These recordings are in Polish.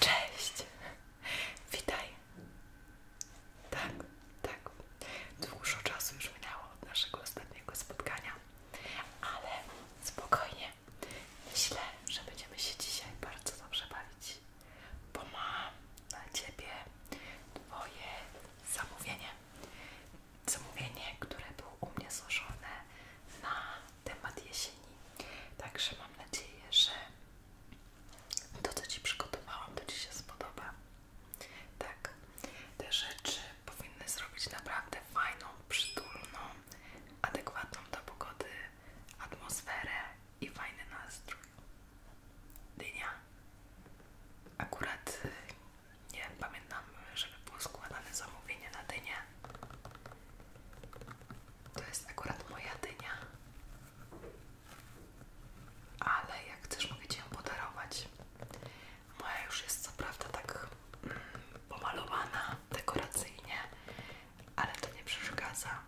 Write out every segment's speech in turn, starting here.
cześć! Witaj! Tak, tak. Dużo czasu już minęło od naszego ostatniego spotkania, ale spokojnie. Myślę, że będziemy się dzisiaj bardzo dobrze bawić, bo mam na ciebie Twoje zamówienie zmówienie, które było u mnie złożone na temat jesieni. Także mam nadzieję, że to, co Ci przygotowałam, to Ci się spodoba. Tak, te rzeczy powinny zrobić naprawdę fajną, przytulną, adekwatną do pogody atmosferę i fajny nastrój. Dynia. Akurat nie pamiętam, żeby było składane zamówienie na dynię. To jest akurat moja dynia. Ale jak chcesz, mogę Ci ją podarować. Moja już jest co prawda tak mm, pomalowana dekoracyjnie, ale to nie przeszkadza.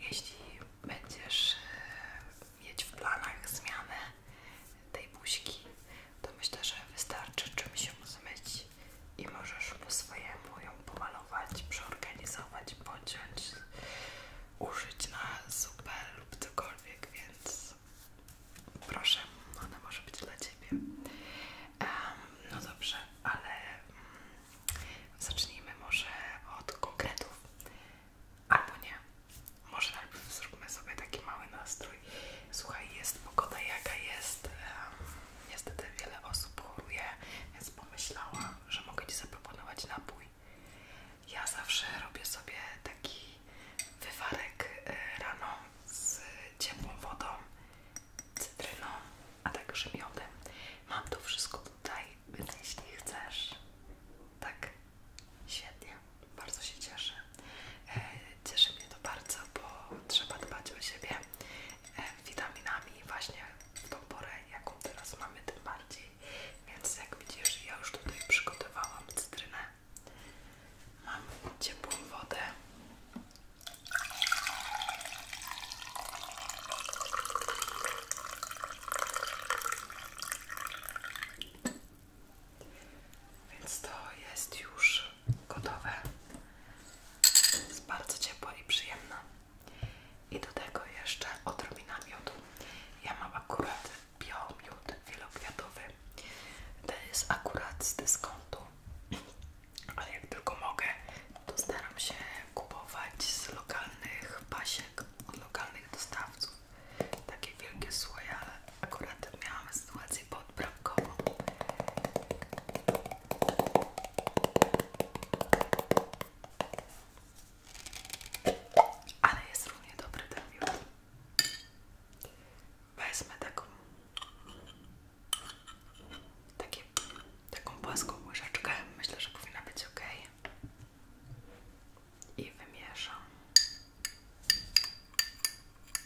Jeśli będziesz e, mieć w planach zmianę, tej to myślę, że wystarczy czymś ją zmyć i możesz po swojemu ją pomalować, przeorganizować, pociąć, użyć na zupę lub cokolwiek, więc proszę, ona może być dla Ciebie. no dobrze, ale um, zacznijmy może od konkretów, albo nie. Może albo zróbmy sobie taki mały nastrój. Słuchaj, jest pogoda jaka jest. niestety wiele osób choruje, więc pomyślałam, że mogę Ci zaproponować napój. Ja zawsze robię sobie taki wywarek e, rano z ciepłą wodą, cytryną, a także miodem. Mam to wszystko tutaj, jeśli chcesz, tak, świetnie bardzo się cieszę. E, cieszy mnie to bardzo, bo trzeba dbać o siebie e, witaminami właśnie w tą porę, jaką teraz mamy, tym bardziej. Więc jak widzisz, ja już tutaj przygotowałam cytrynę. Mam ciepłą wodę. Więc to jest już gotowe. Jest bardzo ciepłe i przyjemne. I do tego jeszcze odrobina miodu. Ja mam akurat biomiód wielokwiatowy. To jest akurat z dyskontu. Ale jak tylko mogę, to staram się kupować z lokalnych pasiek, od lokalnych dostawców. Takie wielkie słoje, Akurat miałam sytuację podbramkową. Ale jest równie dobry ten miód. Wezmę taką takie, taką płaską łyżeczkę. Myślę, że powinna być ok. I wymieszam.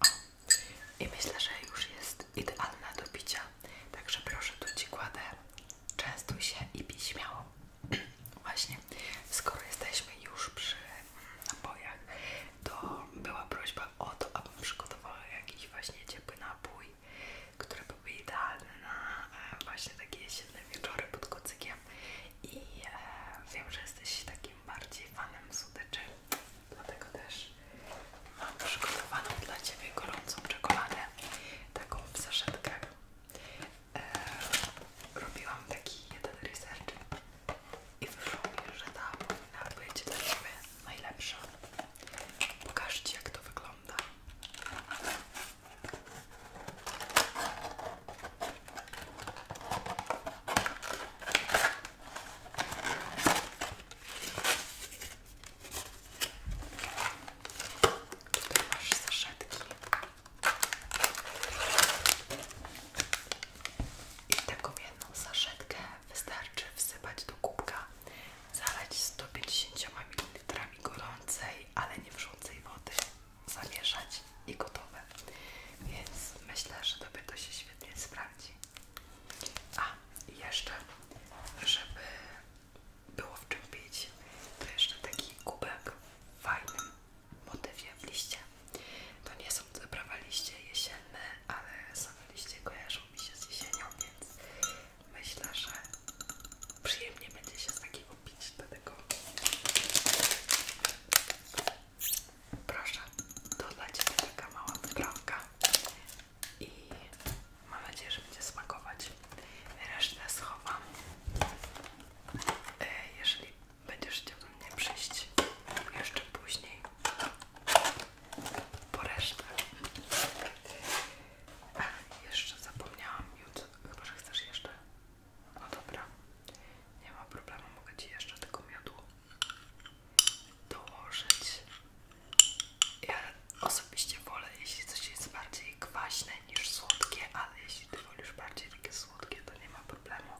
O. I myślę, że już jest idealna do picia. Także proszę, tu Ci kładę. Częstuj się i pij śmiało. Właśnie, skoro jesteśmy już przy napojach, to była prośba o to, abym przygotowała jakiś właśnie ciepły napój, który byłby idealny na e, właśnie takie jesienne wieczory pod kocykiem. I e, wiem, że jesteś takim bardziej fanem słodyczy, dlatego też mam przygotowaną dla Ciebie gorącą czekoladę, taką w e, robiłam taki jeden research i wyszło że ta powinna być dla Ciebie najlepsza. Pokażę jak to wygląda i taką jedną zaszetkę wystarczy wsypać do kubka, zalać 150 ml gorącej, ale nie wrzucej wody zamieszać i gotowe. Więc myślę, że tobie to się świetnie sprawdzi. A i jeszcze, żeby było w czym pić, to jeszcze taki kubek w fajnym motywie w liście. To nie są zaprawa liście jesienne, ale same liście kojarzą mi się z jesienią, więc myślę, że przyjemnie będzie się z takiego kupić do tego. Proszę, to dla Ciebie taka mała wyprawka i mam nadzieję, że będzie smakować. Resztę schowam. E, jeżeli będziesz chciał do mnie przyjść jeszcze później, po resztę. E, jeszcze zapomniałam, Jut, chyba że chcesz jeszcze. No dobra, nie ma problemu, mogę Ci jeszcze tego miodu dołożyć. Ja osobiście wolę, jeśli coś jest bardziej kwaśne niż słodkie, ale jeśli Ty wolisz bardziej takie słodkie, to nie ma problemu.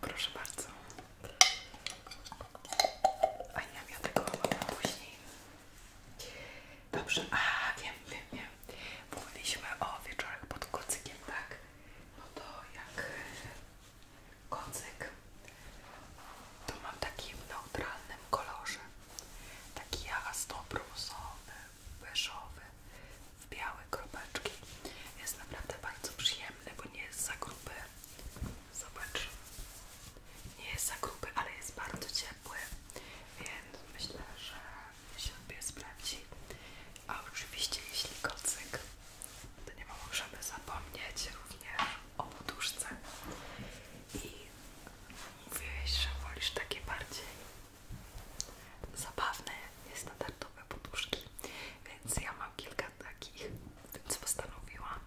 Proszę bardzo. A nie, ja tego mam później. Dobrze, a wiem, wiem, wiem. Mówiliśmy o wieczorach pod kocykiem, tak? No to jak kocyk, to mam taki w neutralnym kolorze. Taki jasno-brusowy, wyszowy, w białe kropeczki. Jest naprawdę bardzo przyjemny, bo nie jest za gruby. Zobacz. Nie jest za gruby, ale jest bardzo ciepły, więc myślę, że się sprawdzi. A oczywiście, jeśli kocyk, to nie możemy zapomnieć również o poduszce. I mówiłeś, że wolisz takie bardziej zabawne, jest na poduszki, więc ja mam kilka takich, więc postanowiłam,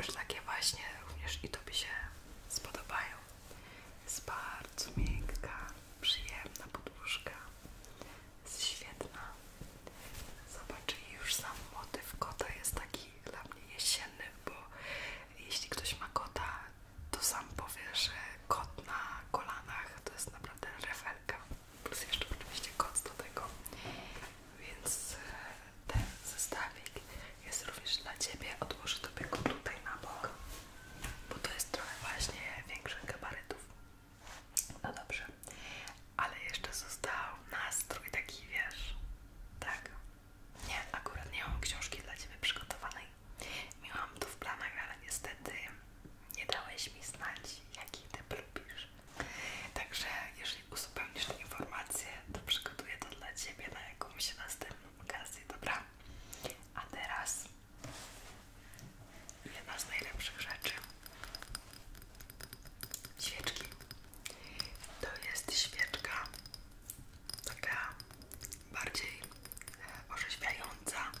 że takie właśnie również i to Tobie się spodobają. Jest bardzo miękka, przyjemna podłóżka. Jest świetna. Zobacz, już sam motyw kota jest taki dla mnie jesienny, bo jeśli ktoś ma kota, to sam powie, że kot na kolanach to jest naprawdę refelka plus jeszcze oczywiście koc do tego, więc e, ten zestawik jest również dla Ciebie, odłożę Tobie go tutaj na bok, bo to jest trochę właśnie większych gabarytów. No dobrze, ale jeszcze został nastrój taki, wiesz, tak? Nie, akurat nie mam książki dla Ciebie przygotowanej. Miałam tu w planach, ale niestety nie dałeś mi znać, jaki ty lubisz. Także jeżeli uzupełnisz tą informację, to przygotuję to dla Ciebie na jakąś następną okazję, dobra? A teraz jedna z najlepszych rzeczy. Świeczki. To jest świeczka taka bardziej orzeźwiająca.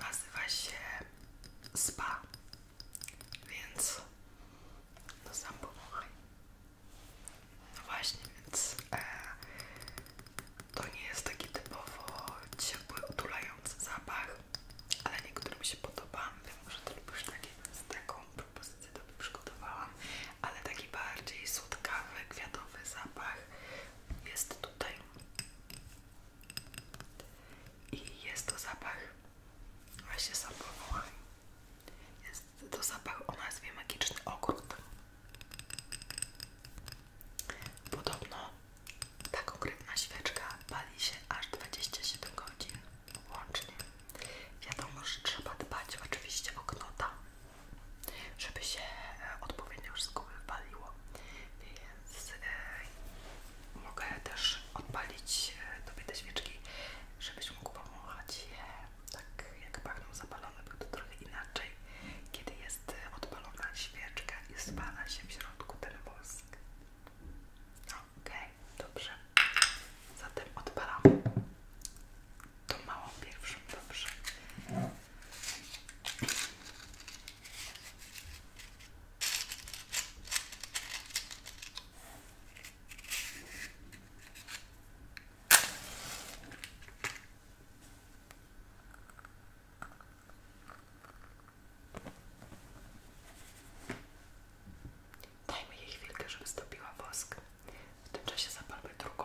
Nazywa się spa, więc no sam pomogaj. No właśnie, więc e, to nie jest taki typowo ciepły, otulający zapach, ale niektórym się podoba. Wiem, że to lubisz takie, więc taką propozycję Tobie przygotowałam, ale taki bardziej słodkawy, kwiatowy zapach jest tutaj. I jest to zapach, właśnie sam Jest to zapach o nazwie Magiczny Ogród. Podobno ta konkretna świeczka bali się aż 27 godzin łącznie. Wiadomo, że trzeba dbać oczywiście o knota, żeby się e, odpowiednio wszystko wywaliło. Więc e, mogę też odpalić sobie e, te świeczki, żebyś mógł pomachać je tak jak pachną zapalone, bo to trochę inaczej, kiedy jest e, odpalona świeczka i spala się w środku ten wosk. Okej, dobrze. Zatem odpalam tą małą pierwszą, dobrze. Dajmy jej chwilkę, żeby stopiła wosk. W tym czasie zapalmy drugą.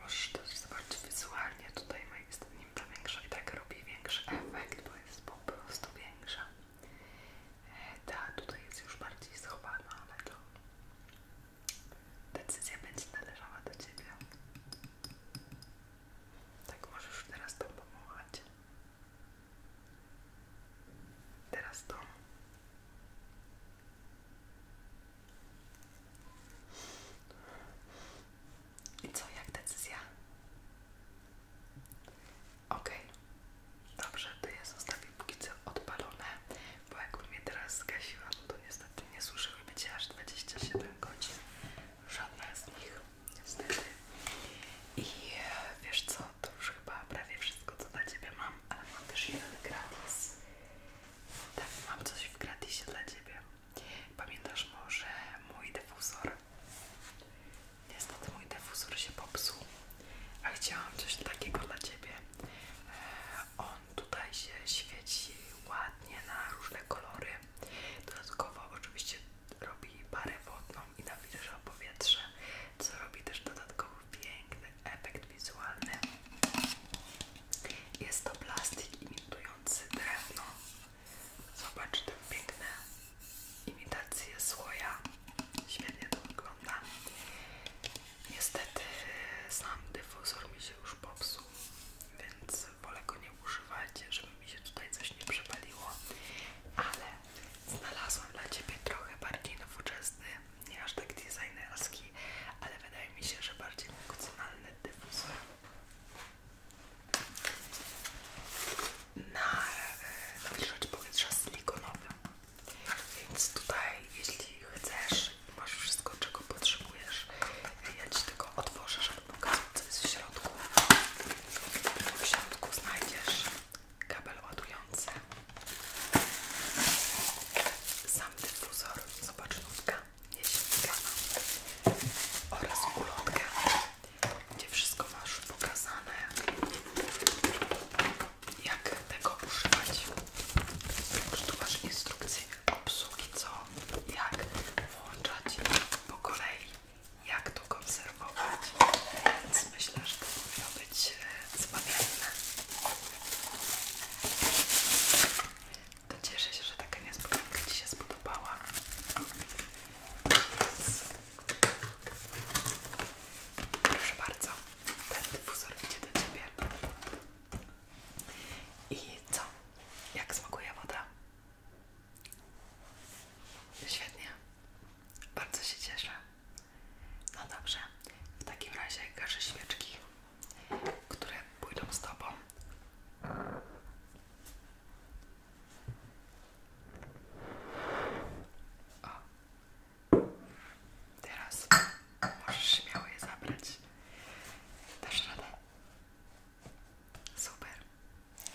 Możesz też zobaczyć wizualnie, tutaj moim zdaniem ta większa i tak robi większy efekt, bo jest po prostu większa. E, ta tutaj jest już bardziej schowana, ale to decyzja będzie należała do Ciebie. Tak możesz już teraz to pomagać. Teraz to. I co, jak decyzja? Okej, dobrze, to ja zostawię póki co odpalone, bo u mnie teraz zgasiła, no to niestety nie słyszyłyby Cię aż 27 godzin. Żadna z nich, niestety. I e, wiesz co, to już chyba prawie wszystko co dla Ciebie mam, ale mam też jeden gratis. Tak, mam coś w gratisie dla Ciebie. Pamiętasz może mój defuzor? Niestety mój defuzor się popsuł, a chciałam coś takiego dla Ciebie. E, on tutaj się świeci ładnie na różne kolory. Dodatkowo oczywiście robi parę wodną i nawilża powietrze, co robi też dodatkowo piękny efekt wizualny. Jest to plastik imitujący drewno. Zobacz te piękne imitacje słoja. Świetnie to wygląda. Niestety sam dyfuzor mi się już popsuł, więc wolę go nie używać, żeby mi się tutaj coś nie przepaliło. Ale znalazłem dla Ciebie trochę bardziej nowoczesny nie aż tak designerski, ale wydaje mi się, że bardziej funkcjonalny dyfuzor. Na wilżacz e, powietrza silikonowy. Więc tutaj, jeśli chcesz, masz wszystko, czego potrzebujesz, e, ja Ci tylko otworzę, żeby pokazać, co jest w środku. W środku znajdziesz kabel ładujący. Sam dyfuzor, zobacz nutka jesienka oraz ulotkę, gdzie wszystko masz pokazane, jak tego używać. tu masz instrukcję obsługi, co, jak włączać po kolei, jak to konserwować, więc myślę, że to powinno z e, zbawienne. To cieszę się, że taka niespodzianka Ci się spodobała. Proszę bardzo, ten dyfuzor idzie do Ciebie. I co? Jak smakuje woda? Świetnie. Bardzo się cieszę. No dobrze, w takim razie gaszę świeczki, które pójdą z tobą. O. Teraz możesz śmiało je zabrać. Dasz radę? Super.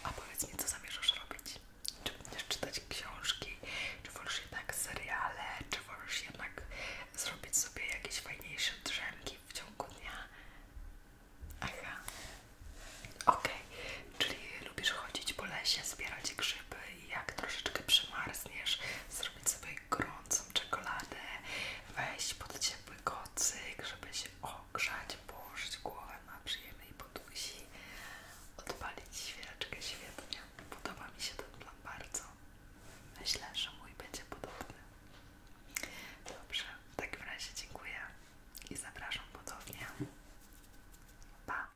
A powiedz mi, co zamierzasz robić? Czy będziesz czytać książki? Czy wolisz jednak seriale? Czy wolisz jednak zrobić sobie jakieś fajniejsze drzemki w ciągu dnia. Aha. Ok. czyli lubisz chodzić po lesie, zbierać grzyby i jak troszeczkę przymarzniesz, zrobić sobie gorącą czekoladę, wejść pod ciepły kocyk, żeby się ogrzać, położyć głowę na przyjemnej podusi, odpalić świeczkę świetnie. Podoba mi się ten plan bardzo. Myślę, że mój będzie podobny. Dobrze, w takim razie dziękuję i zapraszam ponownie. Pa!